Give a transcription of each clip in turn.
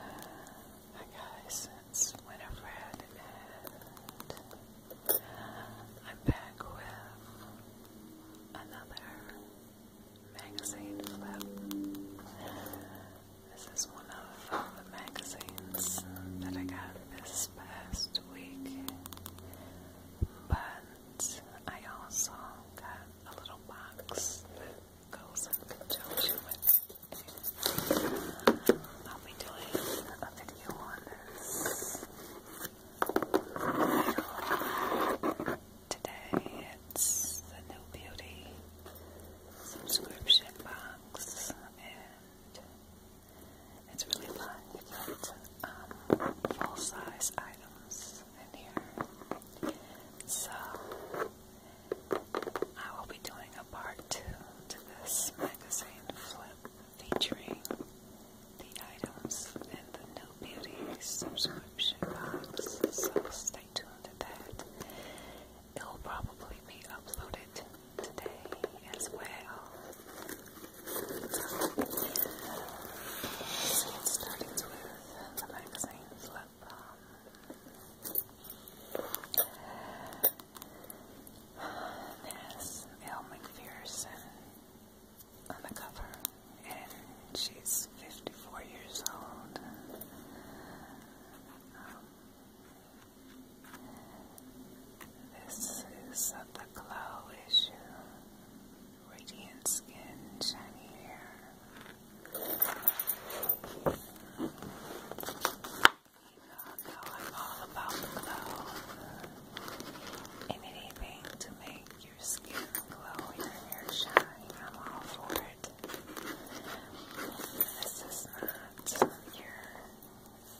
Hi guys, it's Winifred and I'm back with another magazine flip. This is one of the magazines that I got this past week, but I also got a little box that goes in conjunction with I'll be doing a video on this today. It's the new beauty subscription box, and it's really fun. You get um, full size items in here. So, I will be doing a part two to this magazine flip featuring the items in the new beauty subscription box. So stay tuned to that. It will probably be uploaded today as well. So with the magazine flip um, there's Elle McPherson on the cover, and she's 54 years old. this is of the glow issue. Radiant skin, shiny hair know I'm all about the anything to make your skin glow, your hair shine, I'm all for it. This is not your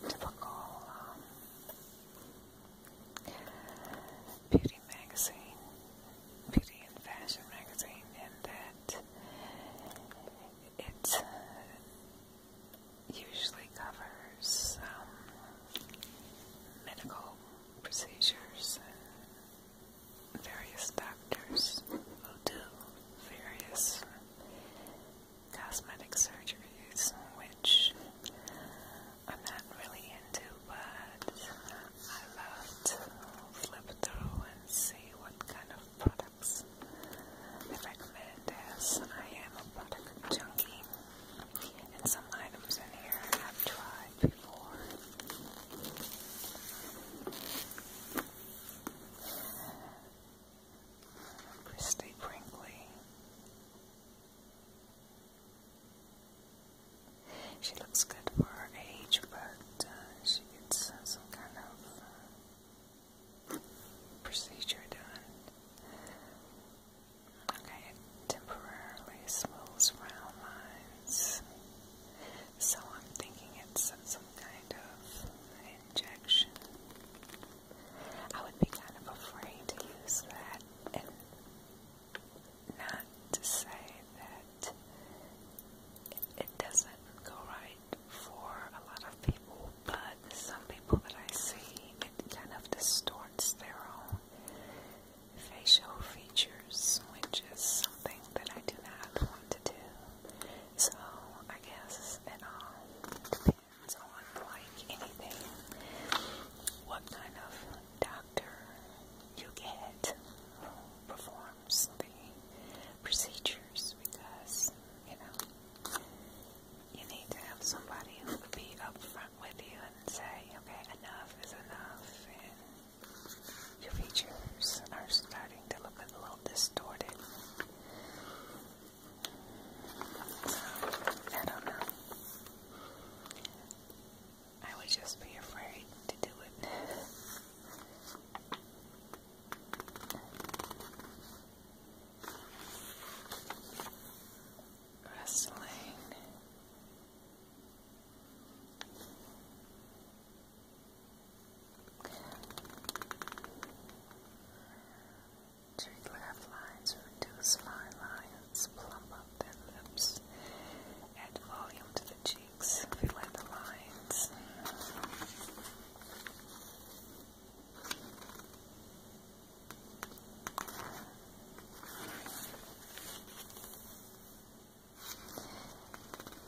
typical beauty magazine, beauty and fashion magazine, and that it usually covers um, medical procedures and various doctors who do various cosmetic surgeries, which I'm not really into, but I love to flip through and see what kind of products I recommend as I am a product junkie and some items in here I have tried before. Christy Brinkley. She looks good for her age, but uh, it's some kind of uh, procedure done. Okay, temporarily smooths frown lines. So I'm thinking it's some kind of injection. I would be kind of afraid to use that and not to say that it doesn't go right for a lot of people. But some people that I see, it kind of distorts their own facial features, which is something that I do not want to do. So I guess it all depends on, like anything, what kind of doctor you get. Before procedures because, you know, you need to have somebody who would be upfront with you and say, okay, enough is enough, and your features are starting to look a little distorted. So, I don't know. I would just be afraid to do it. Wrestling. Two left lines reduce fine lines, plump up their lips, add volume to the cheeks streaks, fill the lines.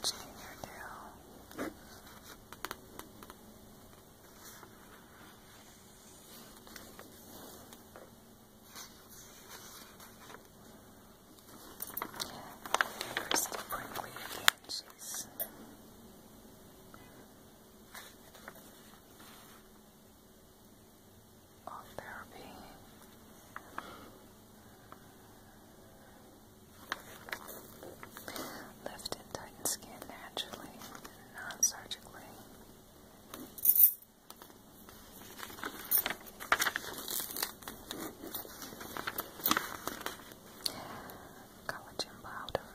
Chain your tail. Christy Brinkley again, she's on therapy. Lift and tighten skin naturally, not surgically collagen powder.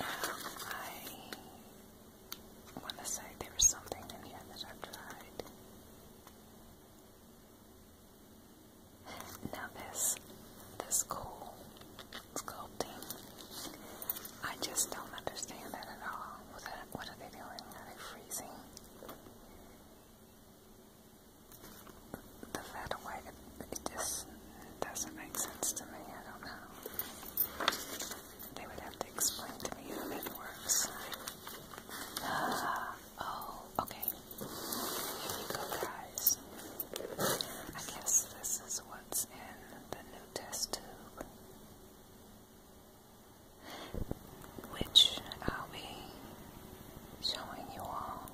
Now, I want to say there something in here that I've tried. Now this, this cool sculpting, I just don't understand that at all. what are they doing? Are they freezing? the fat away, it, just doesn't make sense to me. I don't know. They would have to explain to me how it works. Uh, oh, okay. Here you go, guys. I guess this is what's in the new test tube which I'll be showing you all.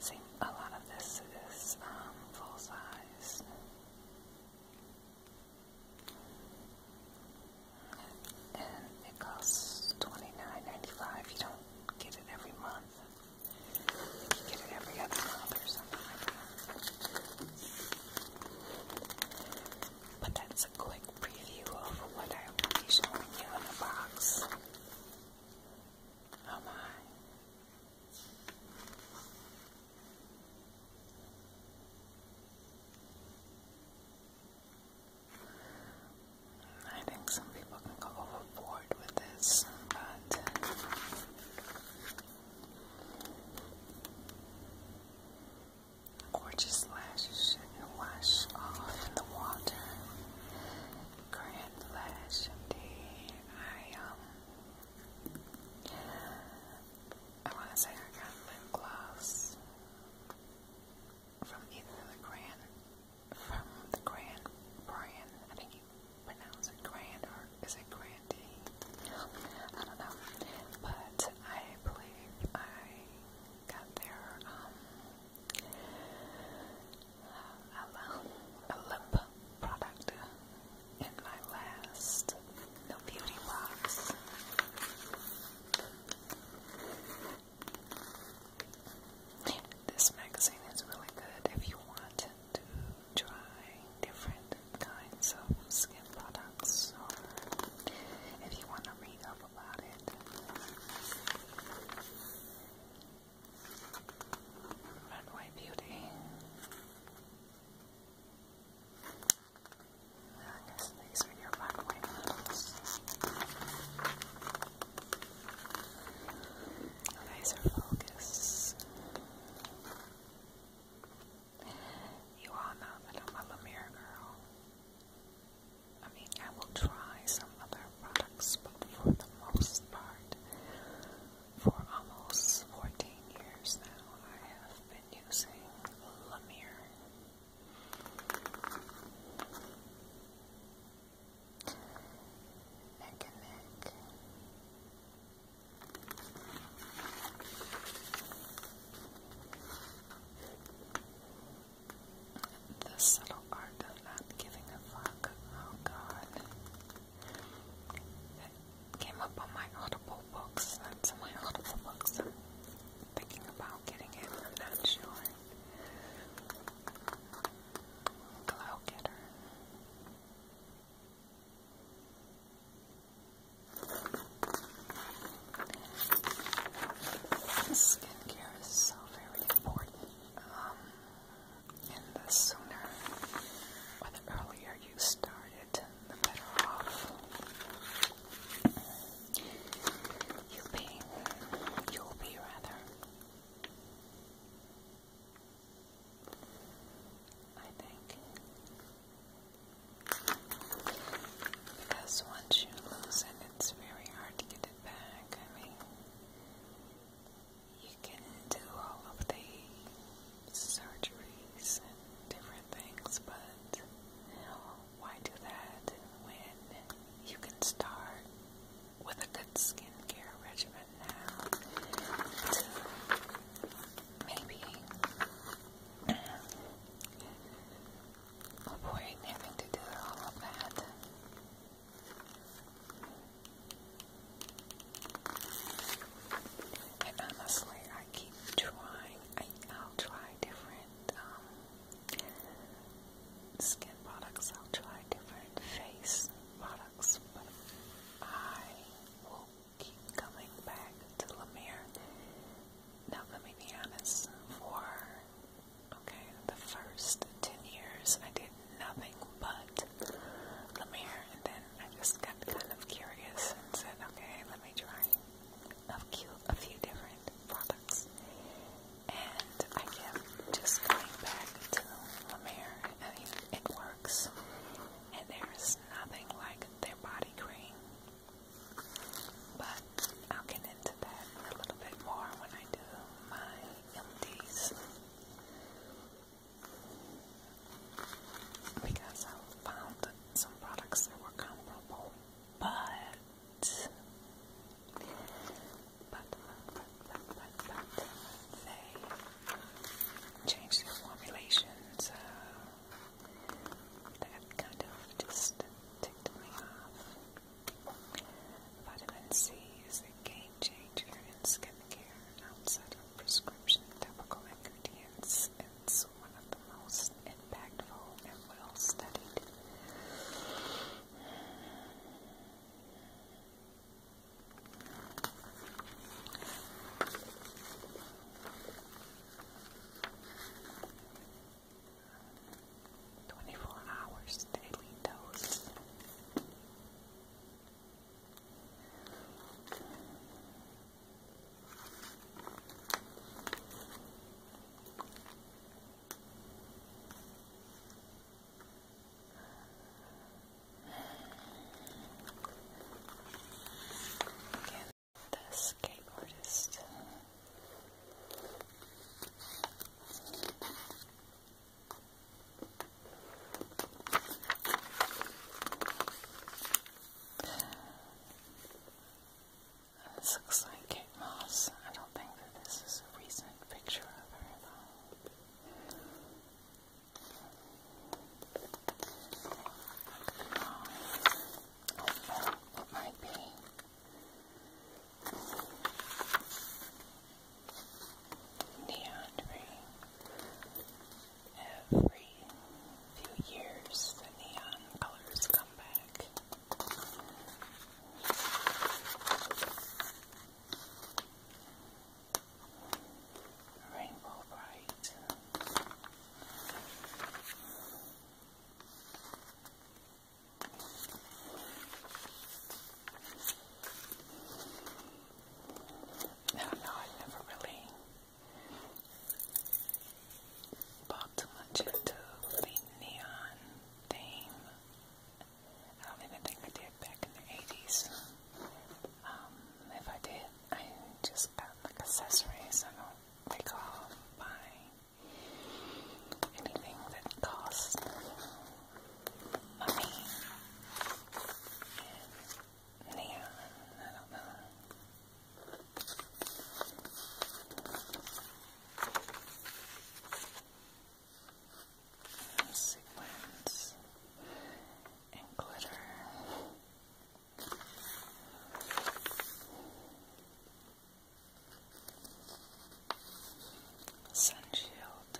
See, a lot of this is um, full size. And it costs 29 You don't get it every month. You get it every other month or something but that's a quick preview of what I will be showing you in the box. Oh my. I think some people can go overboard with this, but uh, Gorgeous lashes shouldn't wash off in the water. Grand lash day. I um I wanna say I got lip gloss from the Grand from the Grand brand. I think you pronounce it Grand or is it Grandee? I don't know. But I believe I got their um, uh, a product in my last No Beauty box. This magazine is really good if you want to try different kinds of skin products items or if you want to read up about it. Runway Beauty. I guess these are your runway models. Laser focus. You all know that I'm a Lemire girl. I mean, I will try some other products, but for the most part, for almost 14 years now, I have been using Lemire. Neck and neck. The subtle art of not giving a fuck. Oh god. It came up on my Audible books. That's on my Audible books. I'm thinking about getting it, i sure. Glow getter. Skincare is so very important. Um, and the sooner or the earlier you start it, the better off you'll be. You'll be rather. I think. Because once you lose it, it's very hard to get it back. I mean, you can do all of the surgeries different things, but you why do that when you can start with a good skincare regimen now to maybe avoid oh having to do all of that. And honestly, I keep trying. I, will try different um, skin products. I'll try different face products, but I will keep coming back to Lemire now, let me be honest, for okay, the first 10 years I did nothing but Lemire, and then I just got kind of curious and said, okay, let me try a few, a few different products. And I kept just going back to Lemire. I mean, it works, and there's nothing like their body cream. But I'll get into that a little bit more when I do my empties, Because I found some products that were comparable, but, but, but, but, but, they changed their formulations that kind of just ticked me off. Vitamin C is a game changer in skincare outside of prescription topical ingredients. It's one of the most impactful and well studied. 24 hours daily dose. Again, the escape artist. looks like Kate Moss. I don't think that this is a recent picture of her, though. might be. Neon green. Every few years the neon colors come back. Rainbow bright. I don't know, never really bought too much into the neon theme. I don't think I did back in the 80s. Um, if I did, I just got like accessories. I don't recall Anything that costs money. Neon, I don't know. sequins and glitter. Sunshield.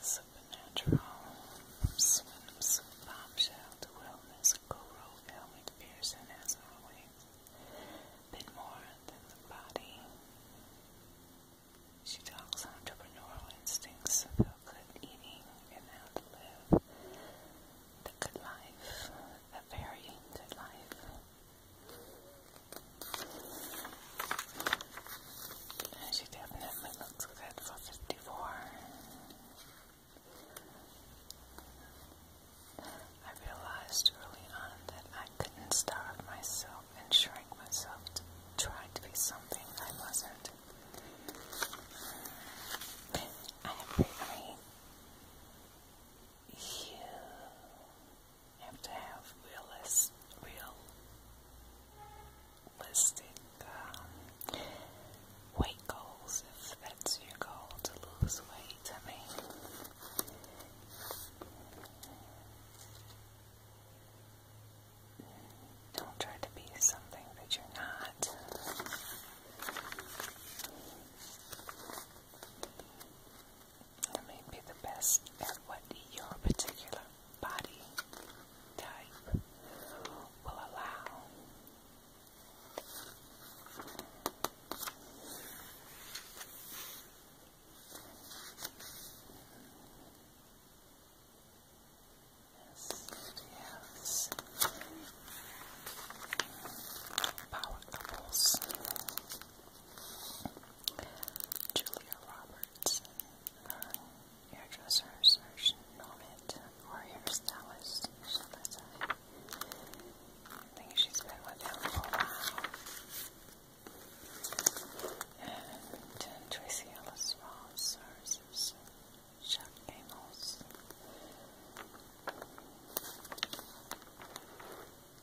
Supernatural swim, bombshell, wellness, Guru, Elmic Pearson, as always a bit more than the body. She talks entrepreneurial instincts of feel good eating and how to live the good life, a very good life. She definitely looks good for 54. I realized early on that I couldn't starve myself and shrink myself Trying to be something I wasn't. I mean, you have to have realist, realistic um, weight goals if that's your goal to lose weight to me. Don't try to be something that you're not. You may be the best at what your particular body type will allow. Yes, Power couples. Julia Roberts, her hairdresser, Serge Novit, or hairstylist. So I think she's been with him for a while. And Tracy Ellis Ross Chuck Amos.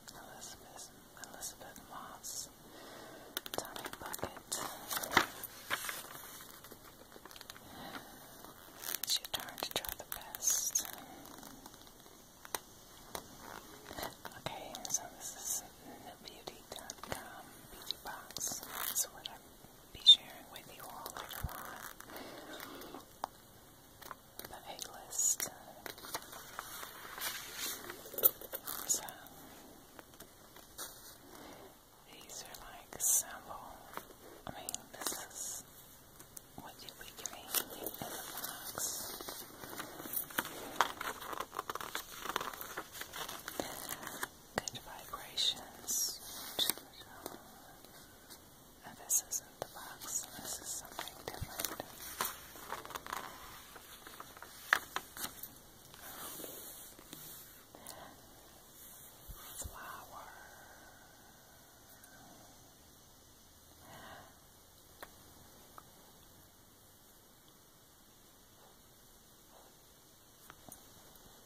Elizabeth, Elizabeth Moss, Tommy Bucket. She turned to try the best. Okay, so this is beauty.com beauty box. That's what I'll be sharing with you all later on. The A list. So, these are like sample. I mean, this is what did we drain in the box? Good vibrations. Oh, this isn't the box, this is something different. Flower.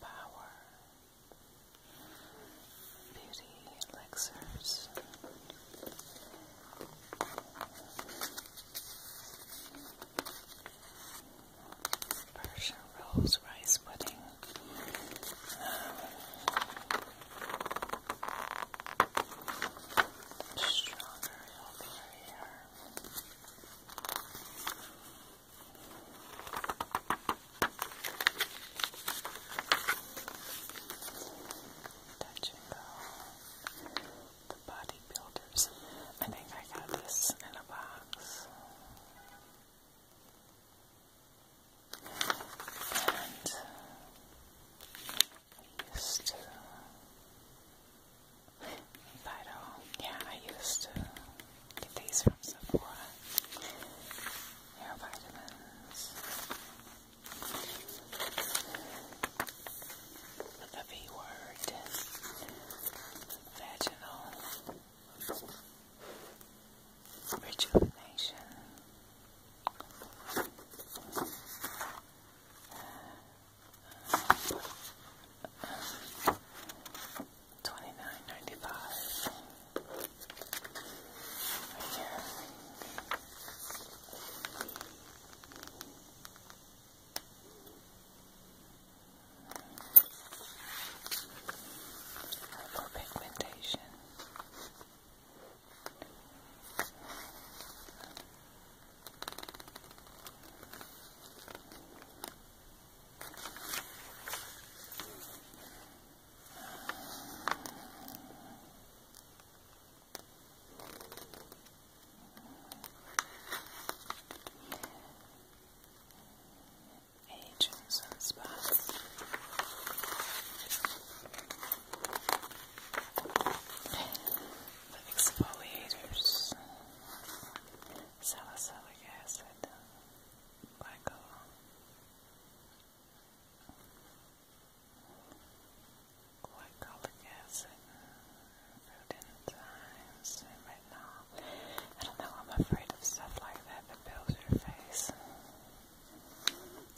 Power, beauty elixirs. Persian rolls, rice pudding, Strawberry over here. Touch The bodybuilders. I think I got this in a box. And I used to, yeah, I used to get these from Sephora. Hair vitamins. The V word. Vaginal rejuvenation. Twenty nine ninety five. For pigmentation. Age and sunspots. The exfoliators, salicylic acid, glycol, glycolic acid, food enzymes, and retinol. I don't know, I'm afraid of stuff like that that builds your face.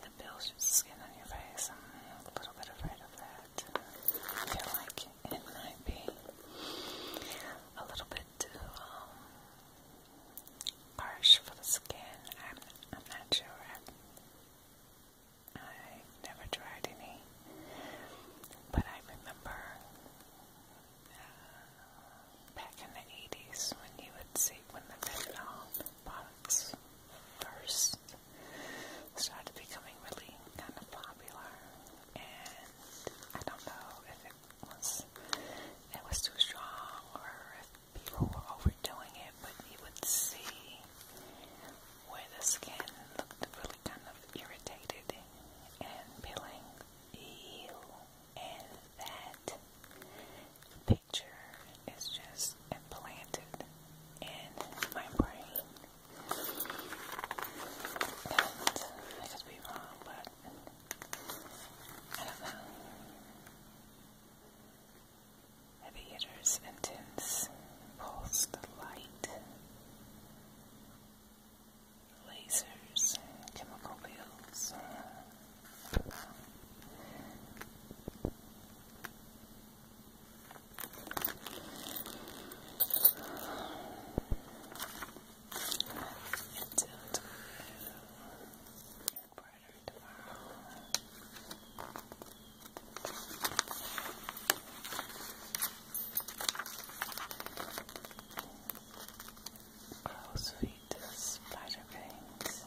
The It just skin on your face. I'm a little bit afraid of that. I feel like it might be a little bit too um, harsh for the skin. I'm, not sure. I, have never tried any, but I remember uh, back in the 80s when you would see when the fentanyl um, box first started becoming really kind of popular, and I don't know if it was it was too strong or if people were overdoing it, but you would see where the skin looked really kind of irritated and peeling. Ew, that picture is just implanted in my brain. I could be wrong, but I don't know. Heavy hitters, intense, pulsed light, lasers, chemical pills. Oh, sweet the spider veins.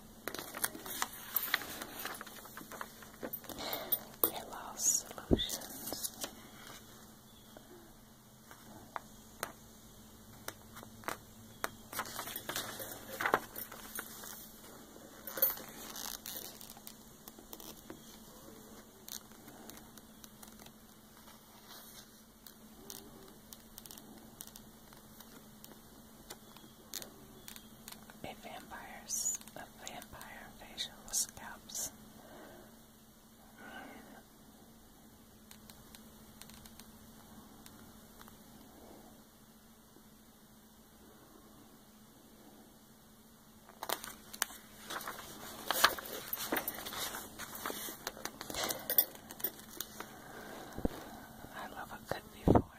Hair loss solutions. If vampires, a vampire invasion with scalps. I love a good before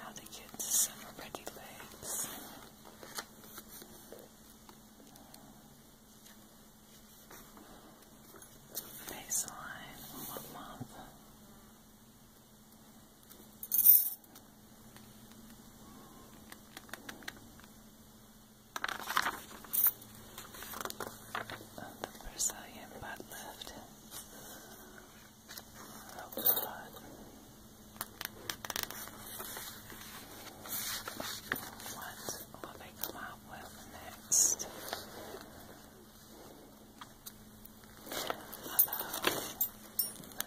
How to get summer pretty legs. Baseline, one month. the Brazilian butt lift. What will they come out with next? Although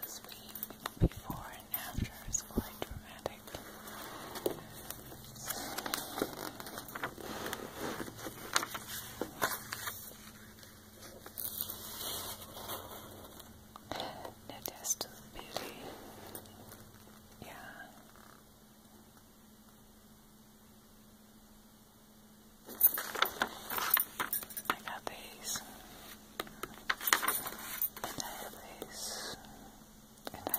this week before and after is quite dramatic. No test of Yeah. I got these. And I have these. And I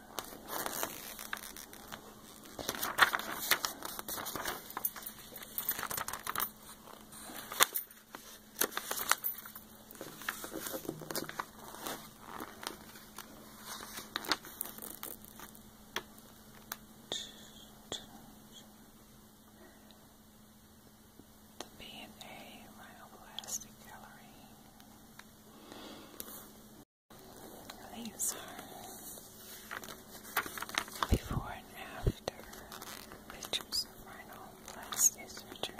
The B and A Myoplastic Gallery. These are before and after pictures of my surgery.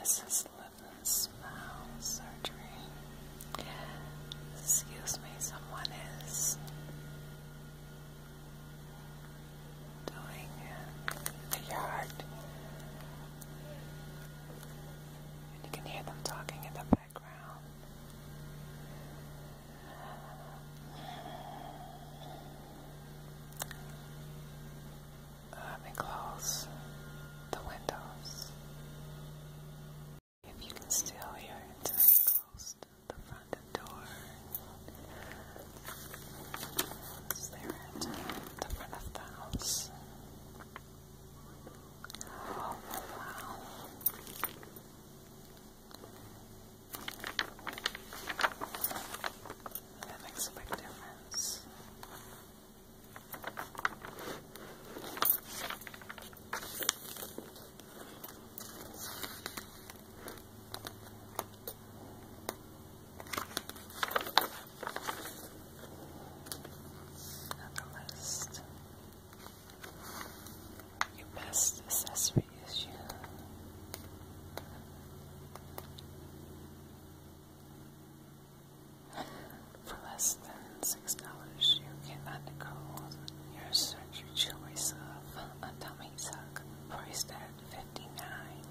This is Lippin Smile Surgery. Excuse me, someone is doing the yard. And you can hear them talking in the background. Let me close the windows. If you can still hear it, close the front door. So they're at the front of the house. Oh, wow. That makes a big difference. Another list. Your best accessory is you. For less than six dollars, you can undergo your surgery choice of a tummy tuck, priced at fifty nine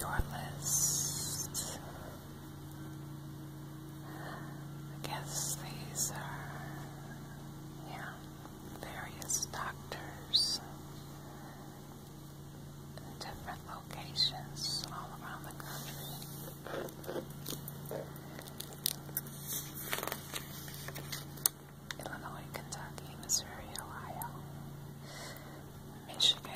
Your list. I guess these are, yeah, various doctors different locations all around the country. Illinois, Kentucky, Missouri, Ohio, Michigan.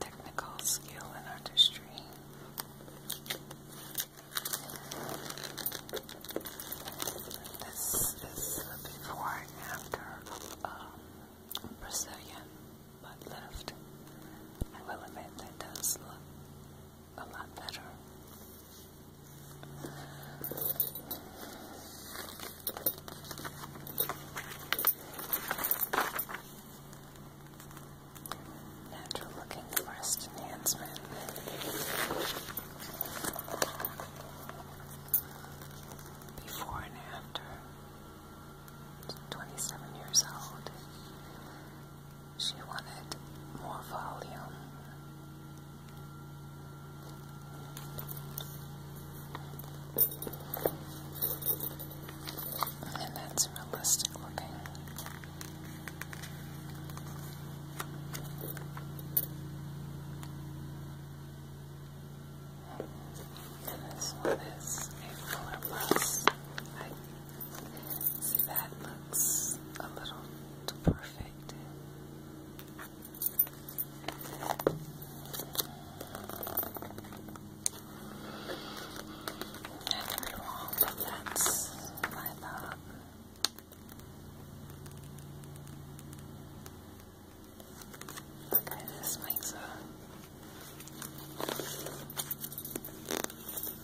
Technical skill and artistry. This is the before and after um, Brazilian butt lift. I will admit that does look a lot better Natural looking breast enhancement. Before and after. 27 years old. She wanted more volume and that's realistic looking. And this one is a fuller bus. see that looks a little too perfect. I could be wrong, but that's Okay, this makes a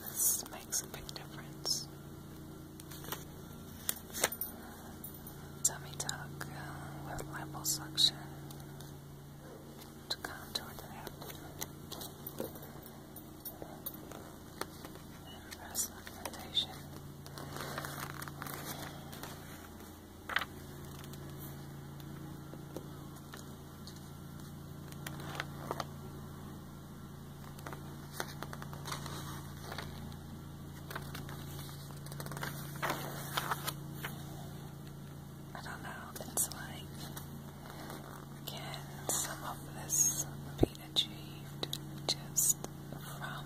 this makes a big difference tummy tuck uh, with liposuction to contour the abdomen. breast augmentation. I don't know, it's like, can some of this be achieved just from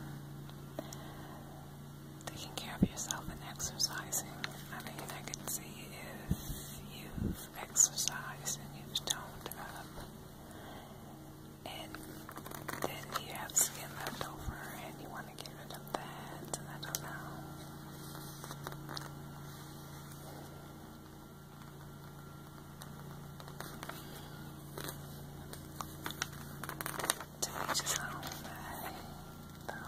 taking care of yourself and exercising? I mean, I can see if you've and you've up and then you have skin left over and you want to get rid of that, and I don't know. To each his own, I don't know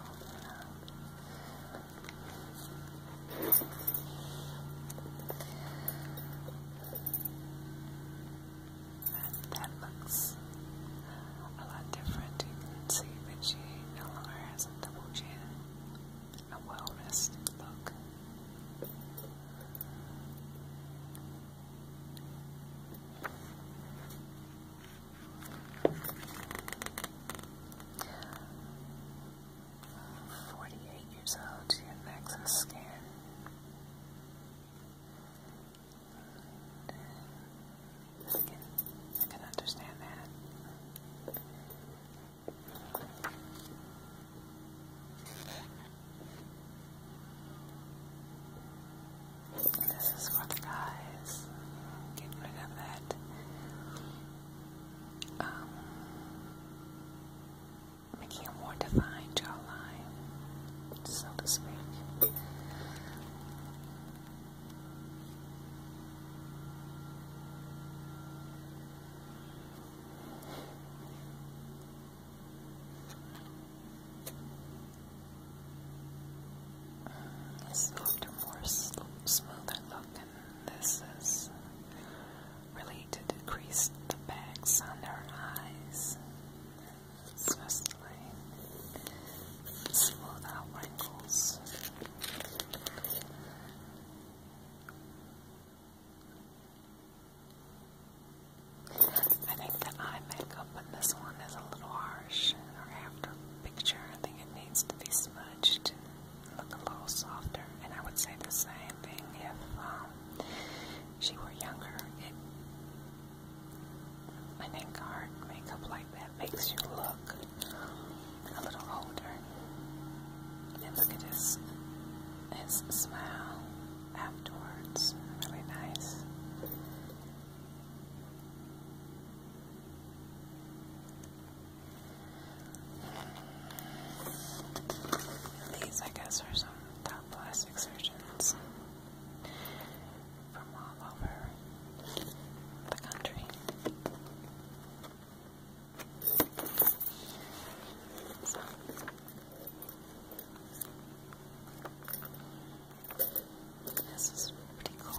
that looks a lot different. You can see that she no longer has a double chin, a well rested look. Forty eight years old, she has excess skin. I can, I understand that. This is for guys. Get rid of that. Um, making a more defined jawline, so to speak. This looked a more smoother look, this is really to decrease the bags under her eyes especially smooth wrinkles. I think the eye makeup in this one is a little harsh in after picture. I think it needs to be smudged look a little softer. And I would say the same thing if um, she were younger. I think hard makeup like that makes you look a little older. And look at smile afterwards. Really nice. These, I guess, are some top plastic surgeons from all over the country. This is pretty cool.